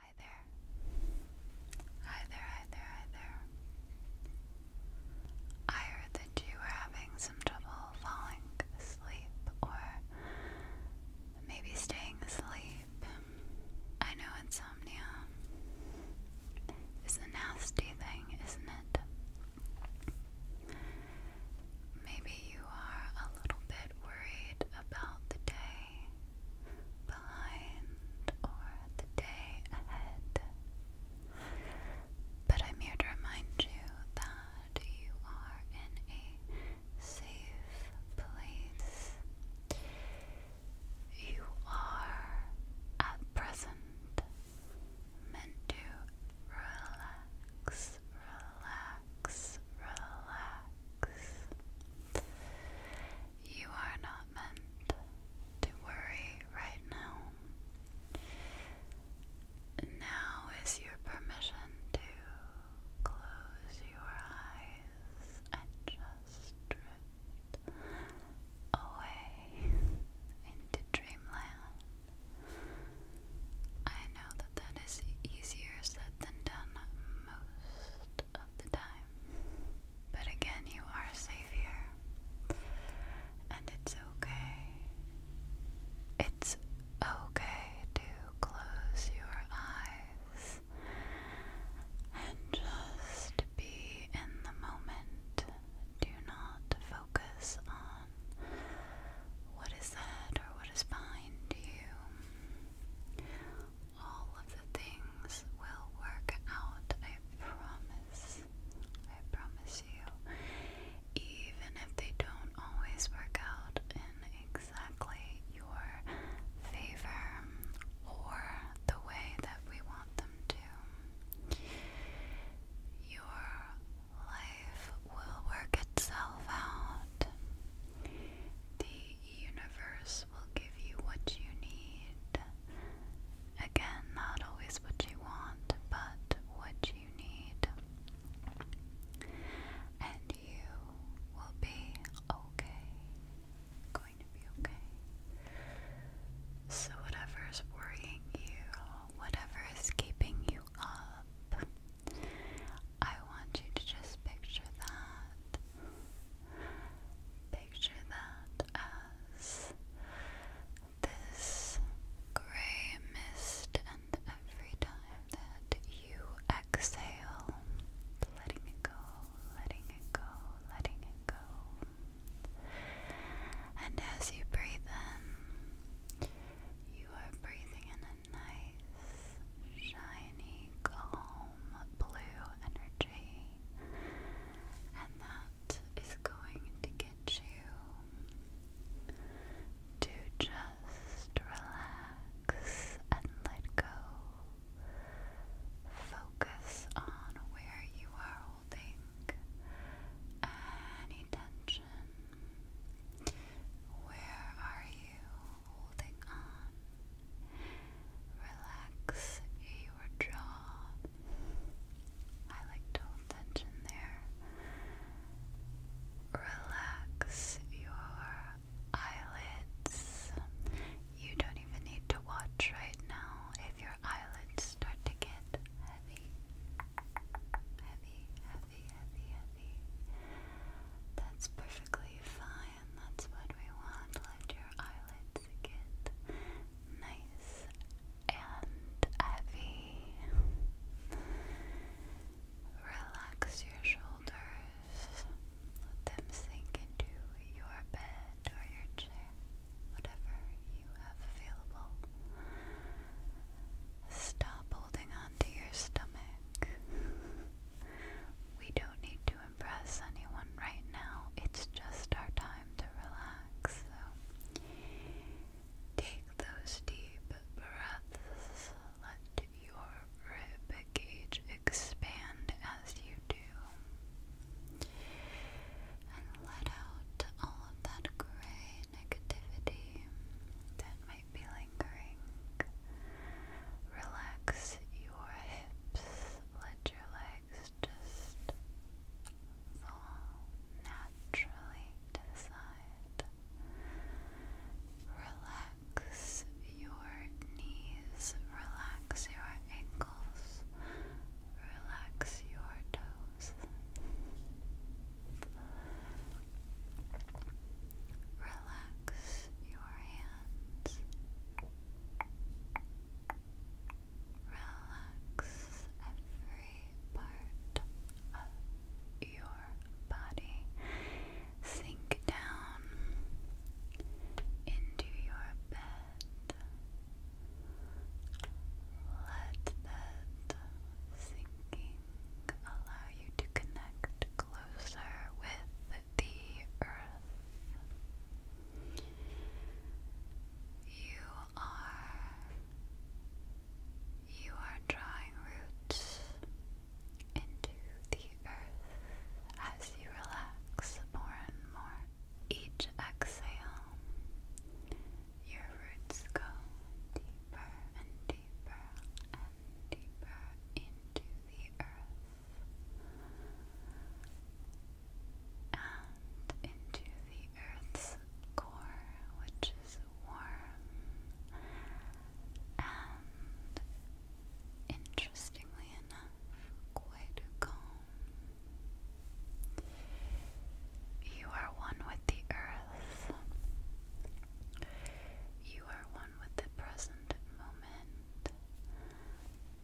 Hi there. Hi there, hi there, hi there. I heard that you were having some trouble falling asleep or maybe staying asleep. I know insomnia is a nasty thing, isn't it? Maybe you are a little bit worried about the day behind or the day ahead. But I'm here to remind you that you are in a safe place. You are at present meant to relax, relax, relax. You are not meant to worry right now. Now is your permission to close your eyes and just drift away into dreamland. I know that that is easier said than done most of the time. But again, you are safe here. And it's okay. It's okay to close your eyes and just be in the moment. Do not focus on what is that or what is behind you. All of the things will work out, I promise. I promise you. Even if they don't always work out in exactly your favor or the way that we want them to, your life will work itself out. The universe will give you what you need. Again, not always what you want, but what you need. And you will be okay. Going to be okay. So, whatever's worrying you, whatever is keeping you up, I want you to just picture that. Picture that as this gray mist, and every time that you exhale, letting it go, letting it go, letting it go. And as you breathe in, you are breathing in a nice, shiny, calm blue energy, and that is going to get you to just relax and let go. Focus on where you are holding any tension. Where are you holding on? Relax your jaw. I like to hold tension there. Relax your eyelids. You don't even need to watch right now if your eyelids start to get heavy. Heavy, heavy, that's perfectly fine. That's what we want. Let your eyelids get nice and heavy. Relax your shoulders. Let them sink into your bed or your chair, whatever you have available. Stop holding on your stomach. we don't need to impress anyone right now, it's just our time to relax. So take those deep breaths, let your rib cage expand as you do, and let out all of that gray negativity that might be lingering. Relax your hips, let your legs just fall naturally to the side. Relax your knees, relax your ankles, relax your toes. Relax your hands. Relax every part of your body. Sink down into your bed. Let that sinking allow you to connect closer with the earth. You are you are drawing roots into the earth as you relax more and more. Each exhale your roots go deeper and deeper and deeper into the earth and into the earth's core, which is warm and interestingly enough quite calm you are one with the earth. You are one with the present moment.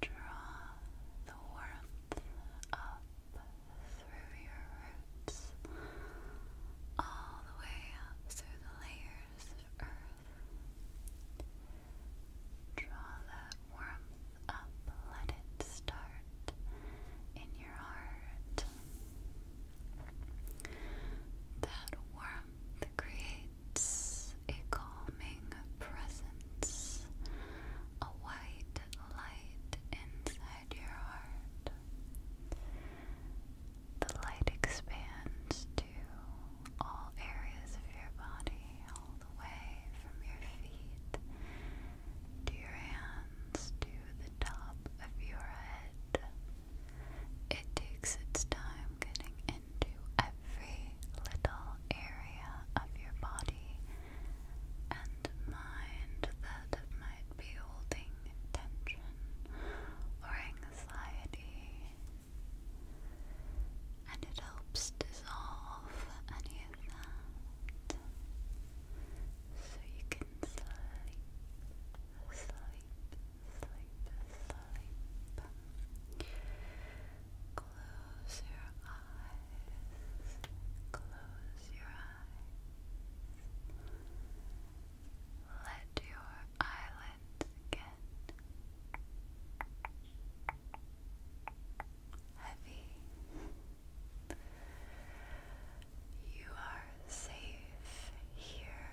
Draw the warmth up through your roots, all the way up through the layers of earth. Draw that warmth up, let it start in your heart. That warmth creates a calming presence, a white light inside your heart. The light expands to all areas of your body, all the way from your feet to your hands, to the top of your head. It takes its time getting into every little area of your body and mind that might be holding tension or anxiety. And it helps dissolve any so you can sleep, sleep, sleep, sleep. Close your eyes, close your eyes. Let your eyelids get heavy. You are safe here.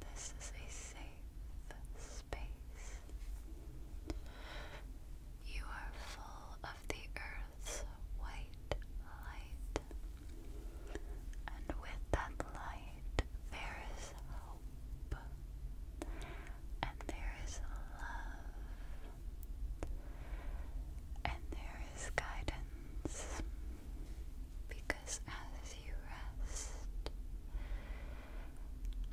This is a safe space. You are full of the earth's white light. And with that light, there is hope and there is love, and there is guidance, because as you rest,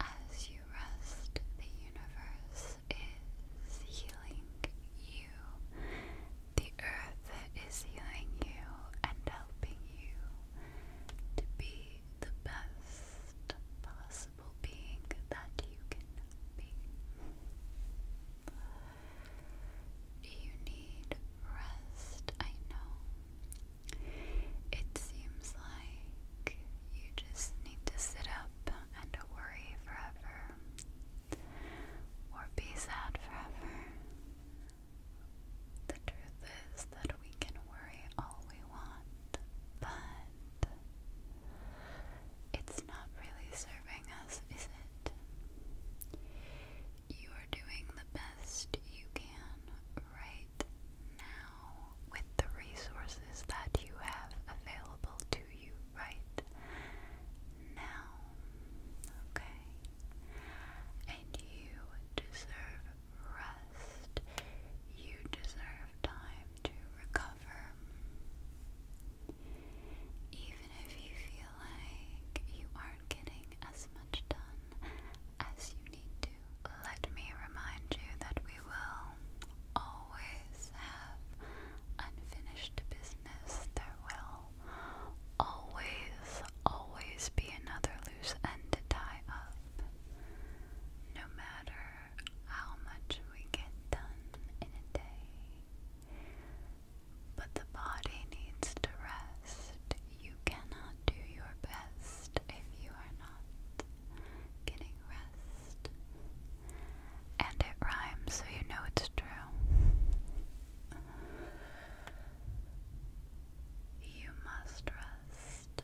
as you rest, the universe is healing you, the earth is healing you and helping you to be the best possible being that you can be. you need rest? I know. It seems like you just need to sit up and worry forever. Or be sad forever. The truth is that we can worry all we want, but it's not really serving us, is it? You are doing the best you can right now with the resources that you have available to you right now. Okay? And you deserve rest. You deserve time to recover. Even if you feel like you aren't getting as much done as you need to, let me remind you that we will always have unfinished business. There will always, always be another loose end to tie up. No matter how much we get done in a day, but the body needs to rest. You cannot do your best if you are not getting rest. And it rhymes, so you know it's true. You must rest.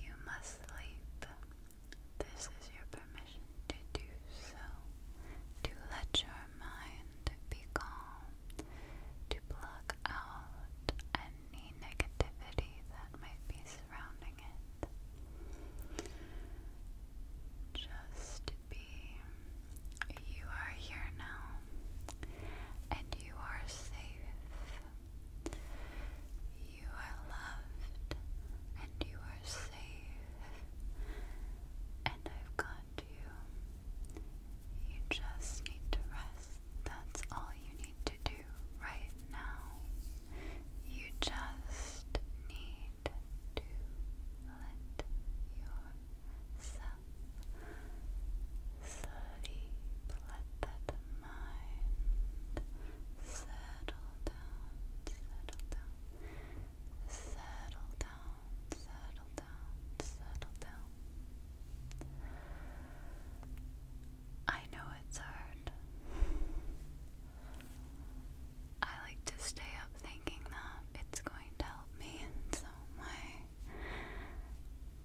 You must sleep. This is your permission to do so, to let your mind be calm, to block out any negativity that might be surrounding it. Just be. You are here now, and you are safe. You are loved and you are safe, and I've got you. You just need to rest. That's all you need to do right now. You just need to let yourself sleep. Let that Settle down, settle down. Settle down, settle down, settle down. I know it's hard. I like to stay up thinking that it's going to help me in some way.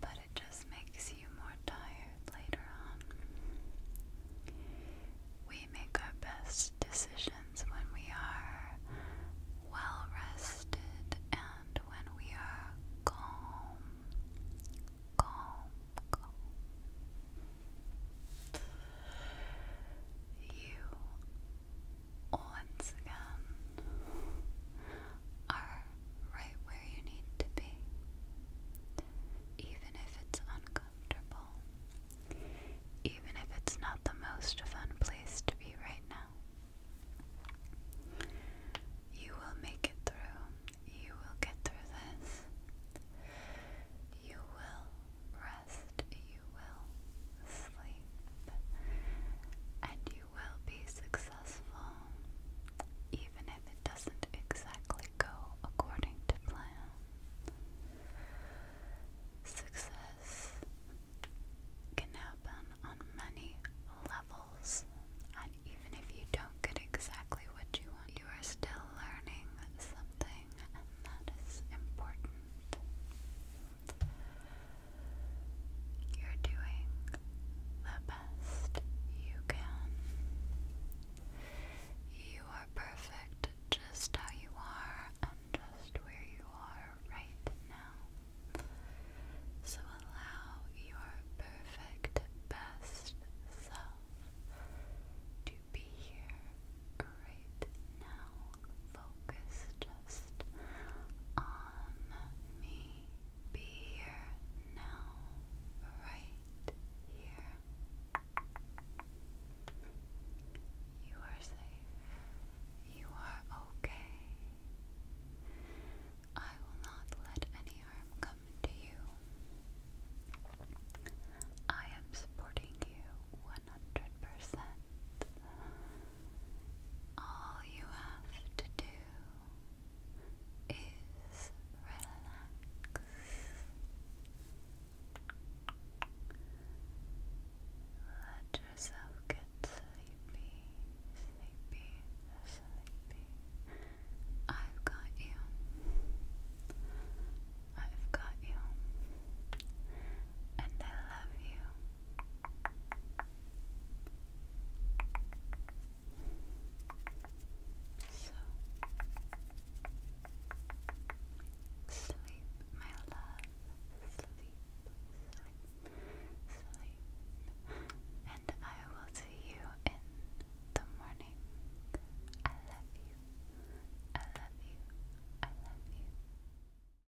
But it just makes you more tired later on. We make our best decisions when we are well rested and when we are calm. Calm, calm. You, once again, are right where you need to be, even if it's uncomfortable, even if it's not the most fun place to be right now. You will make it through, you will get through this. You will rest, you will sleep, and you you will be successful, even if it doesn't exactly go according to plan. Success can happen on many levels, and even if you don't get exactly what you want, you are still learning something, and that is important. You're doing the best you can. You are perfect just how you are and just where you are right now. So allow your perfect best self to be here right now, focused rest on me. Be here now, right here. You are safe. You are okay. I will not let any harm come to you. I am supporting you 100%. All you have to do is relax. Let yourself get sleepy, sleepy, sleepy. I've got you. I've got you. And I love you. So sleep, my love, sleep, sleep, sleep, and I will see you in the morning. I love you. I love you. I love you.